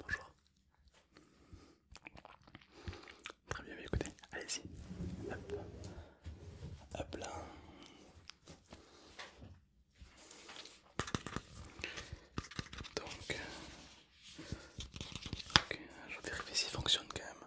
Bonjour. Très bien, écoutez, allez-y. Hop. Hop là. Donc, je vérifie ça fonctionne quand même.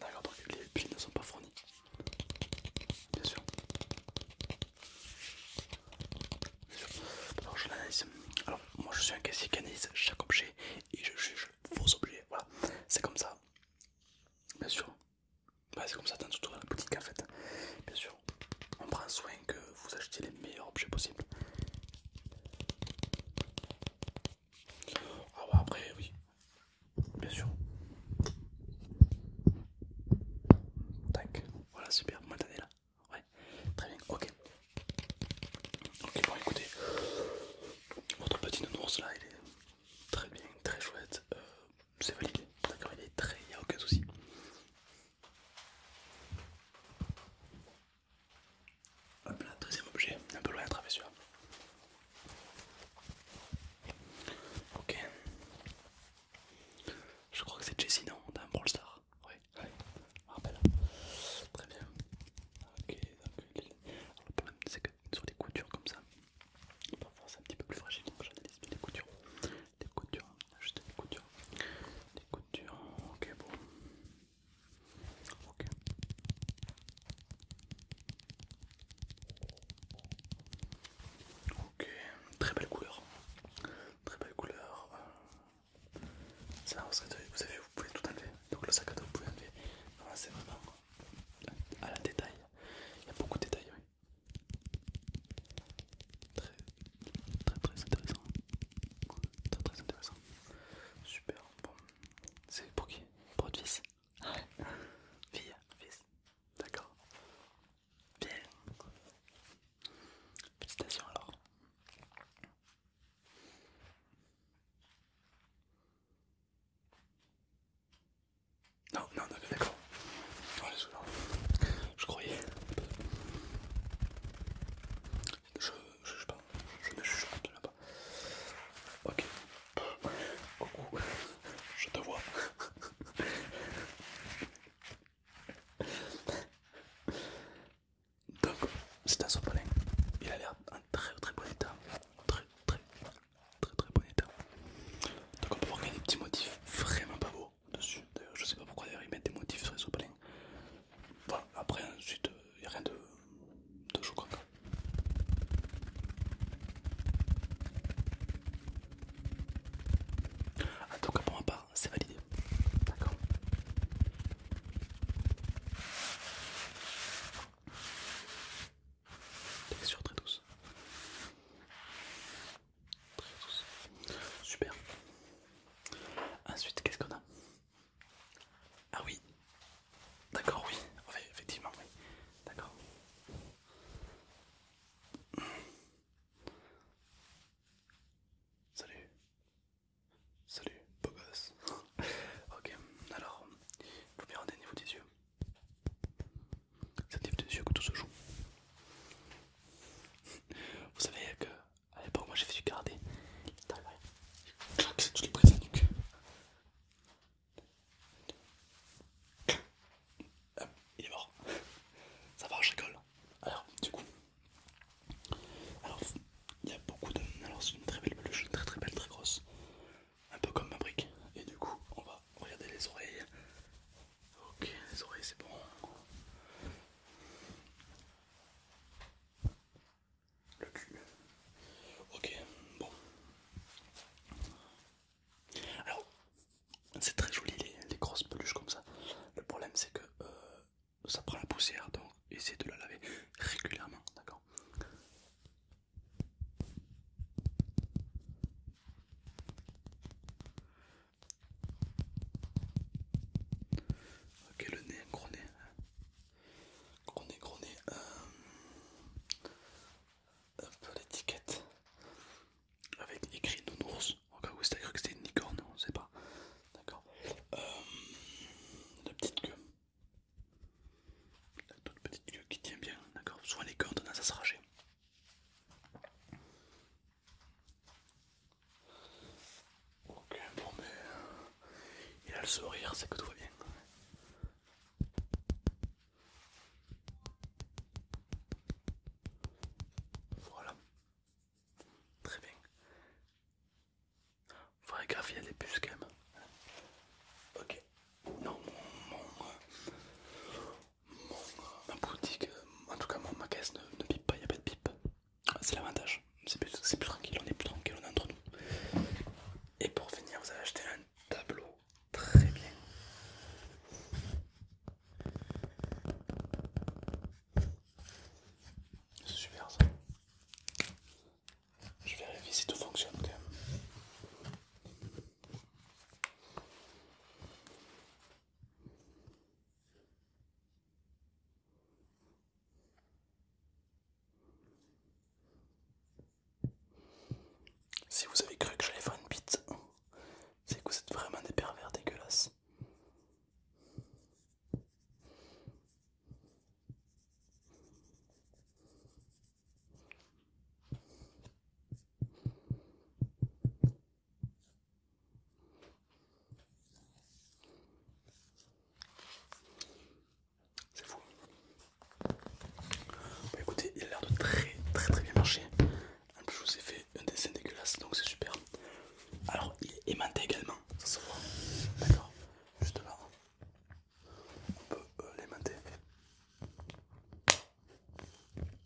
D'accord, parce que les piles ne sont pas fournies. Bien sûr. Alors, je l'analyse. Alors, moi je suis un caissier qui analyse chaque objet et je juge vos objets. Voilà, c'est comme ça. Bien sûr. c'est comme ça dans toute la boutique en fait. Bien sûr. On prend soin que vous achetiez les meilleurs objets possibles. Ah bah après oui, bien sûr. Tac, voilà super, vous m'entendez là Ouais, très bien, ok. Ok bon écoutez, votre petit nounours là il est très bien, très chouette, euh, c'est valide, d'accord il est très, il n'y a aucun souci. Hop là, deuxième objet, un peu loin à celui-là. Ok. Je crois que c'est Jessie, non D'un Brawl Star Oui, oui, je me rappelle. Très bien. Ok, donc. le problème, c'est que sur des coutures comme ça, parfois c'est un petit peu plus fragile, donc j'analyse bien les coutures. Les coutures, juste des coutures. Des coutures, ok, bon. Ok. Ok, très belle couleur. Très belle couleur. Ça, vous, vous avez vous pouvez tout enlever. Donc le sac à dos, vous pouvez enlever. c'est vraiment à la détail. Il y a beaucoup de détails, Très, très, très intéressant. Très, très intéressant. Super. Bon, c'est pour qui Pour votre fils Ouais. Fille, fils. D'accord. Bien. Félicitations alors. Non, non, non, d'accord. Oh, je croyais. Je ne sais pas, je ne juge là-bas Ok. Coucou, je te vois. Donc, c'est un sopalin. Il a l'air en très très bon état. Très très très très bon état. Donc, on peut voir qu'il y a des petits motifs vraiment pas beaux dessus. D'ailleurs, je sais pas pourquoi d'ailleurs ils mettent des motifs sur les sopalins. Voilà, après ensuite il euh, n'y a rien de, de choquant. En tout cas pour ma part, c'est validé. D'accord Texture très douce. Très douce. Super. Ensuite, qu'est-ce qu'on a ah oui. D'accord, oui. effectivement, oui. D'accord. Salut. Salut, beau gosse. ok, alors, vous rendez au niveau des yeux. C'est au niveau des yeux que tout se joue. Vous savez que à l'époque moi j'ai fait du karaté. Clac, ah, il est mort. Ça va, je rigole. Alors, du coup, alors il y a beaucoup de. Alors, c'est une très belle peluche, très très belle, très grosse, un peu comme ma brique. Et du coup, on va regarder les oreilles. Ok, les oreilles, c'est bon. Le cul. Ok, bon. Alors, c'est très joli les, grosses peluches comme ça. Le problème c'est que euh, ça prend la poussière, donc essayez de la laver régulièrement, d'accord Ok, le nez, gros nez. Gros nez, gros nez. un peu l'étiquette. Avec écrit nounours. Au cas où c'était cru que c'était une licorne, on sait pas. D'accord. Euh, la petite queue. La toute petite queue qui tient bien, d'accord. Soin les cordes, on a ça sera jet Ok, bon mais euh, il a le sourire, c'est que tout va bien. Voilà. Très bien. faut gaffe, il y des puces quand même. Ok. Non, mon, ma boutique, euh, en tout cas mon, ma caisse ne, pipe pas, il n'y a pas de pipe. C'est l'avantage, c'est plus, tranquille, on est plus tranquille, on est entre nous. Et pour finir, vous avez acheté un tableau très bien. C'est super ça. Je vais vérifier si tout fonctionne quand même. Si vous avez cru que j'allais faire une bite, c'est que vous êtes vraiment des pervers dégueulasses. C'est fou. Bah, écoutez, il a l'air de très très très bien marcher. En plus, je vous ai fait un dessin dégueulasse, donc c'est super. Alors, il est aimanté également, ça se voit. D'accord, juste là. On peut euh, l'aimanter.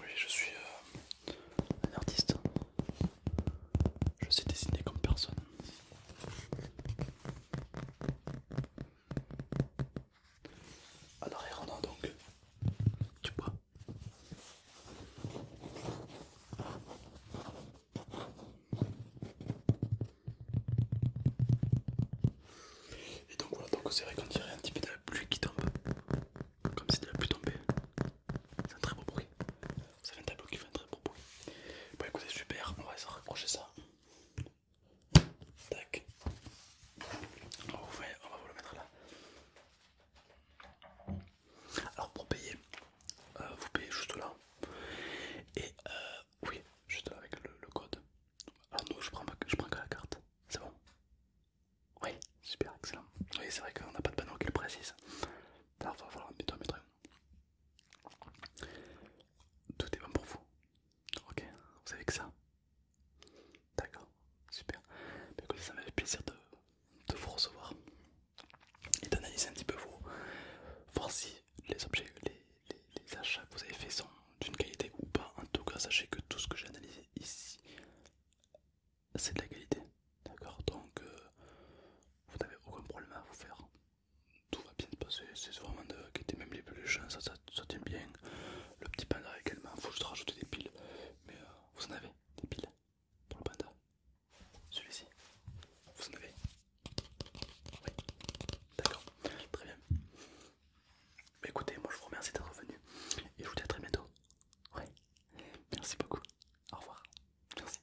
Oui, je suis euh, un artiste. Je sais dessiner comme personne. Alors, et donc tu bois. Et donc voilà, donc c'est vrai qu'on dirait un petit peu de la pluie qui tombe, comme si de la pluie tombait. C'est un très beau bruit. C'est un tableau qui fait un très beau bruit. Bon écoutez, super, on va se raccrocher ça. Tac. On va, on va vous le mettre là. Alors pour payer, euh, vous payez juste là. Et euh, oui, juste là avec le, code. Alors nous, je prends, je prends que la carte. C'est bon Oui, super, excellent. Oui, c'est vrai qu'on n'a pas de panneau qui le précise. Alors va falloir mettre un Tout est bon pour vous. Ok, vous savez que ça. D'accord, super. Mais écoutez, ça m'a fait plaisir de, de vous recevoir et d'analyser un petit peu vous voir si les objets les, achats que vous avez fait sont d'une qualité ou pas en tout cas sachez que tout ce que j'ai analysé ici c'est de la qualité d'accord donc euh, vous n'avez aucun problème à vous faire tout va bien se passer c'est vraiment de quitter même les plus ça, ça, tient bien le petit panda également faut juste rajouter des piles mais euh, vous en avez des piles pour le panda. Celui-ci. Vous en avez Oui. D'accord. Très bien. Mais bah, écoutez, moi je vous remercie d'être venu. Et je vous dis à très bientôt. Oui. Merci beaucoup. Au revoir. Merci.